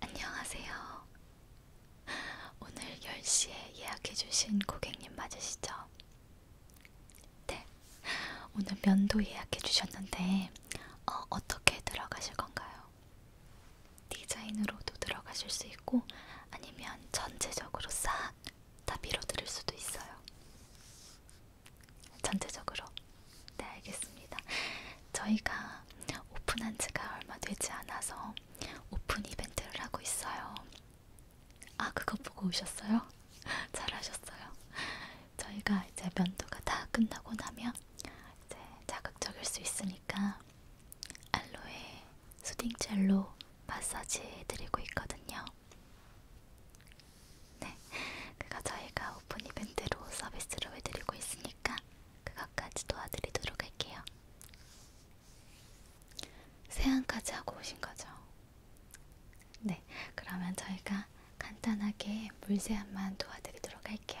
안녕하세요. 오늘 10시에 예약해주신 고객님 맞으시죠? 네. 오늘 면도 예약해주셨는데, 어, 어떻게 들어가실 건가요? 디자인으로도 들어가실 수 있고, 아니면 전체적으로 싹 다 밀어드릴 수도 있어요. 전체적으로 네, 알겠습니다. 저희가 오픈한 지가 얼마 되지 않아서 오픈 이벤트를 하고 있어요. 아, 그거 보고 오셨어요? 잘하셨어요. 저희가 이제 면도가 다 끝나고 나면 이제 자극적일 수 있으니까 알로에 수딩 젤로 마사지 해드리고 있거든요. 네, 그거 저희가 오픈 이벤트로 서비스로 해드리고 있으니까 그것까지 도와드리도록 할게요. 세안까지 하고 오신 거죠? 네, 그러면 저희가 간단하게 물 세안만 도와드리도록 할게요.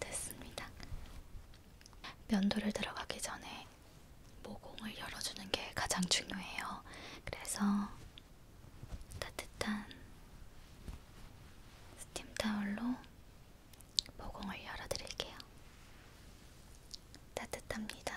됐습니다. 면도를 들어가기 전에 모공을 열어주는 게 가장 중요해요. 그래서 따뜻한 스팀 타올로 모공을 열어드릴게요. 따뜻합니다.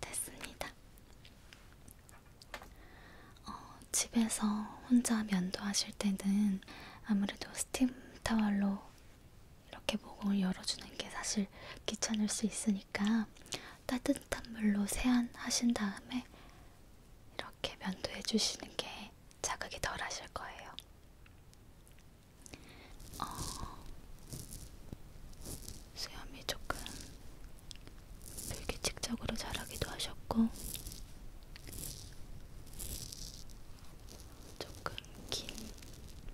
됐습니다. 어, 집에서 혼자 면도하실 때는 아무래도 스팀 타월로 이렇게 목을 열어주는 게 사실 귀찮을 수 있으니까 따뜻한 물로 세안하신 다음에 이렇게 면도해 주시는 게 자극이 덜 하실 거예요. 어, 수염이 조금 불규칙적으로 자라기도 하셨고, 조금 긴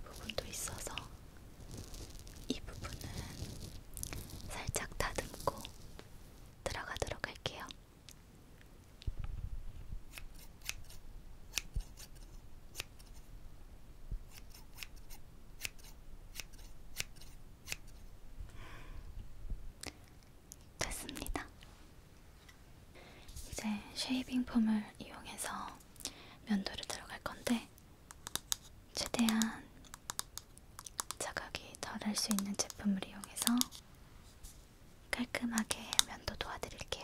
부분도 있어서 이 부분은 살짝 다듬고 들어가도록 할게요. 됐습니다. 이제 쉐이빙 폼을 이용해서 면도를 들어갈 건데 최대한 자극이 덜 할 수 있는 제품을 이용해서 깔끔하게 면도 도와드릴게요.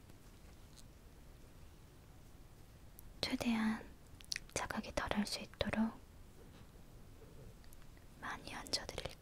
최대한 자극이 덜할 수 있도록 많이 얹어드릴게요.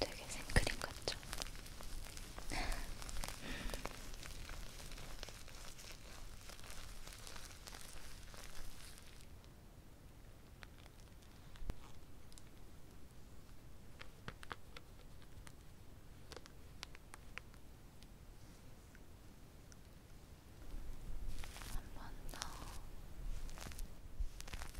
되게 생크림 같죠? 한번더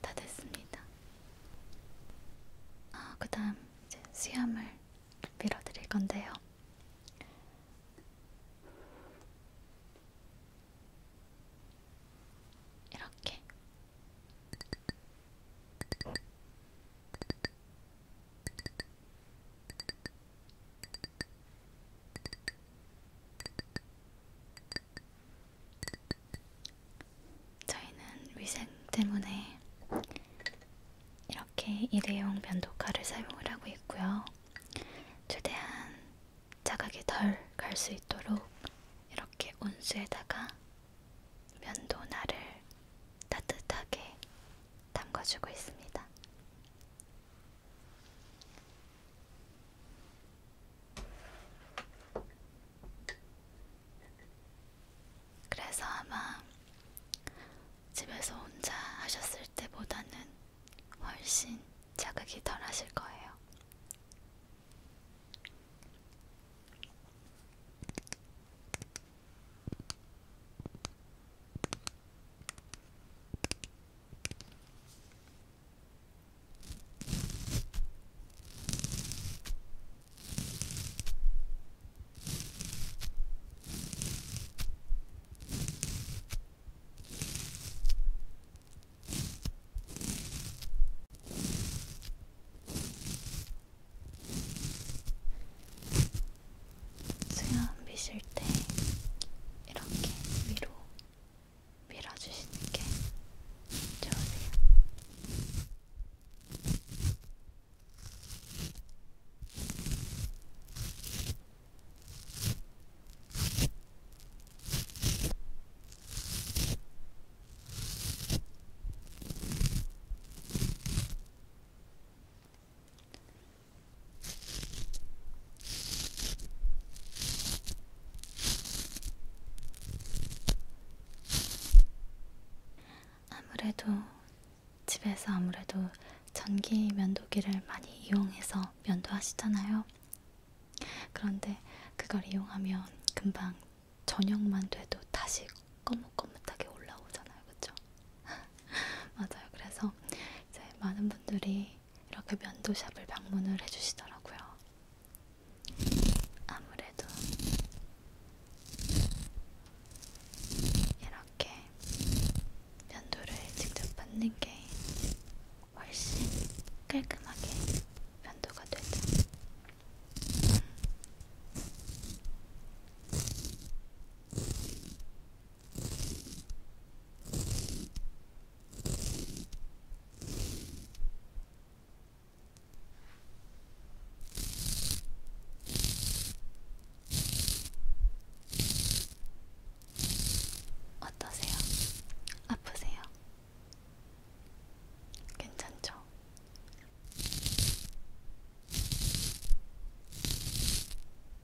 다 됐습니다. 아, 그 다음 이제 수염을 밀어드릴 건데요. 이렇게. 저희는 위생 때문에 이렇게 일회용 면도칼을 사용을 하고 있고요. 최대한 자각이 덜 갈 수 있도록 이렇게 온수에다가 면도날을 따뜻하게 담가주고 있습니다. 그래서 아마 집에서 혼자 하셨을 때보다는 훨씬 자극이 덜 하실 거예요. 수염 빗을 때 이렇게 위로 밀어주시는 게 좋으세요. 아무래도 집에서 아무래도 전기 면도기를 많이 이용해서 면도하시잖아요. 그런데 그걸 이용하면 금방 저녁만 돼도 다시 꺼뭇꺼뭇하게 올라오잖아요. 그쵸? 맞아요. 그래서 이제 많은 분들이 이렇게 면도샵을 방문을 해주시더라고요. 아무래도 이렇게 면도를 직접 받는 게 훨씬 깔끔하게 면도가 되죠. 어떠세요? 아프세요? 괜찮죠?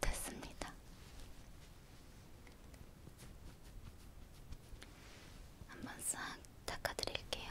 됐습니다. 한번 싹 닦아드릴게요.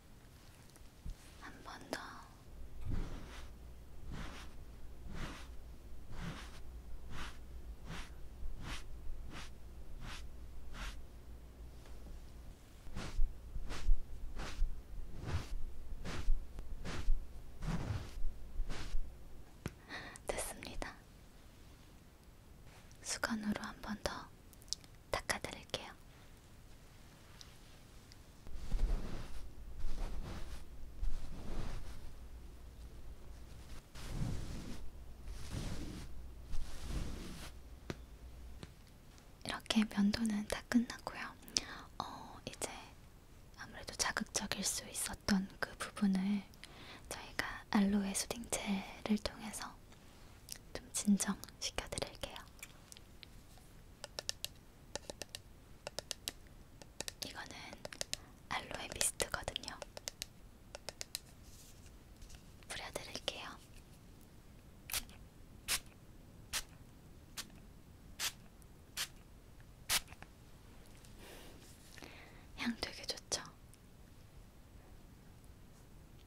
한번더 됐습니다. 수건으로 한번더 닦아드릴게요. 이렇게 면도는 다 끝났고요. 어, 이제 아무래도 자극적일 수 있었던 그 부분을 저희가 알로에 수딩젤을 통해서 좀 진정시켜드릴게요. 이거는 알로에 미스트거든요. 뿌려드릴게요. 향 되게 좋죠?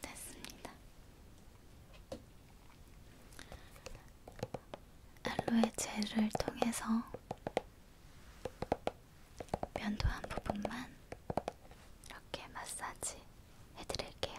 됐습니다. 알로에 젤을 통해서 면도한 부분만 이렇게 마사지 해드릴게요.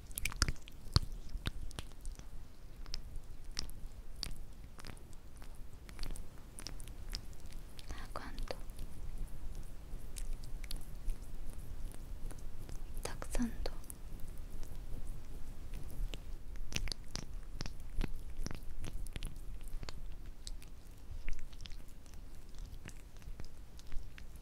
かんとたくさんと「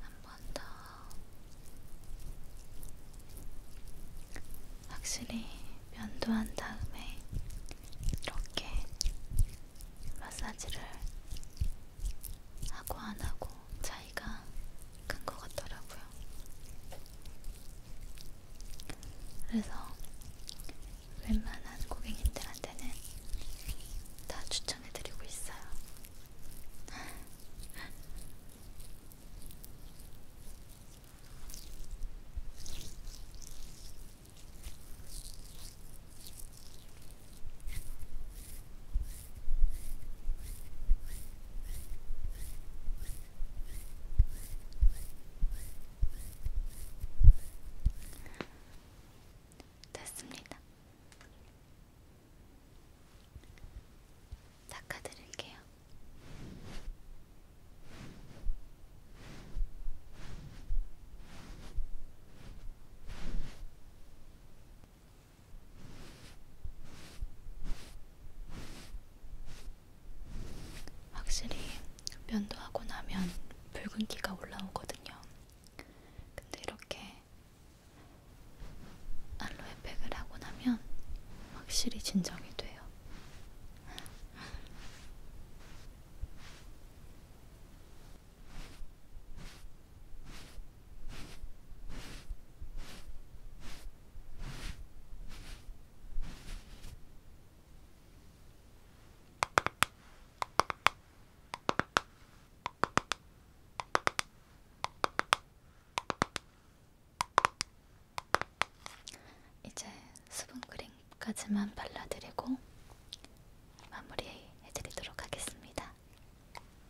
한번더 확실히 면도한 다음에 이렇게 마사지를 하고 안 하고 차이가 큰 것 같더라고요. 그래서 웬만한 고객님들한테는 다 추천해드리고 있어요. 됐습니다. 닦아드릴게요. 확실히 면도하고 나면 붉은기가 올라오거든요. 근데 이렇게 알로에팩을 하고 나면 확실히 진정이 돼요. 이제 수분크림까지만 발라드리고 마무리해드리도록 하겠습니다.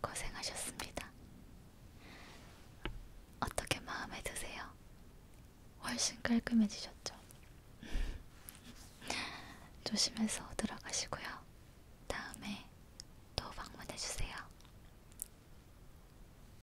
고생하셨습니다. 어떻게 마음에 드세요? 훨씬 깔끔해지셨죠? 조심해서 들어가시고요. 다음에 또 방문해주세요.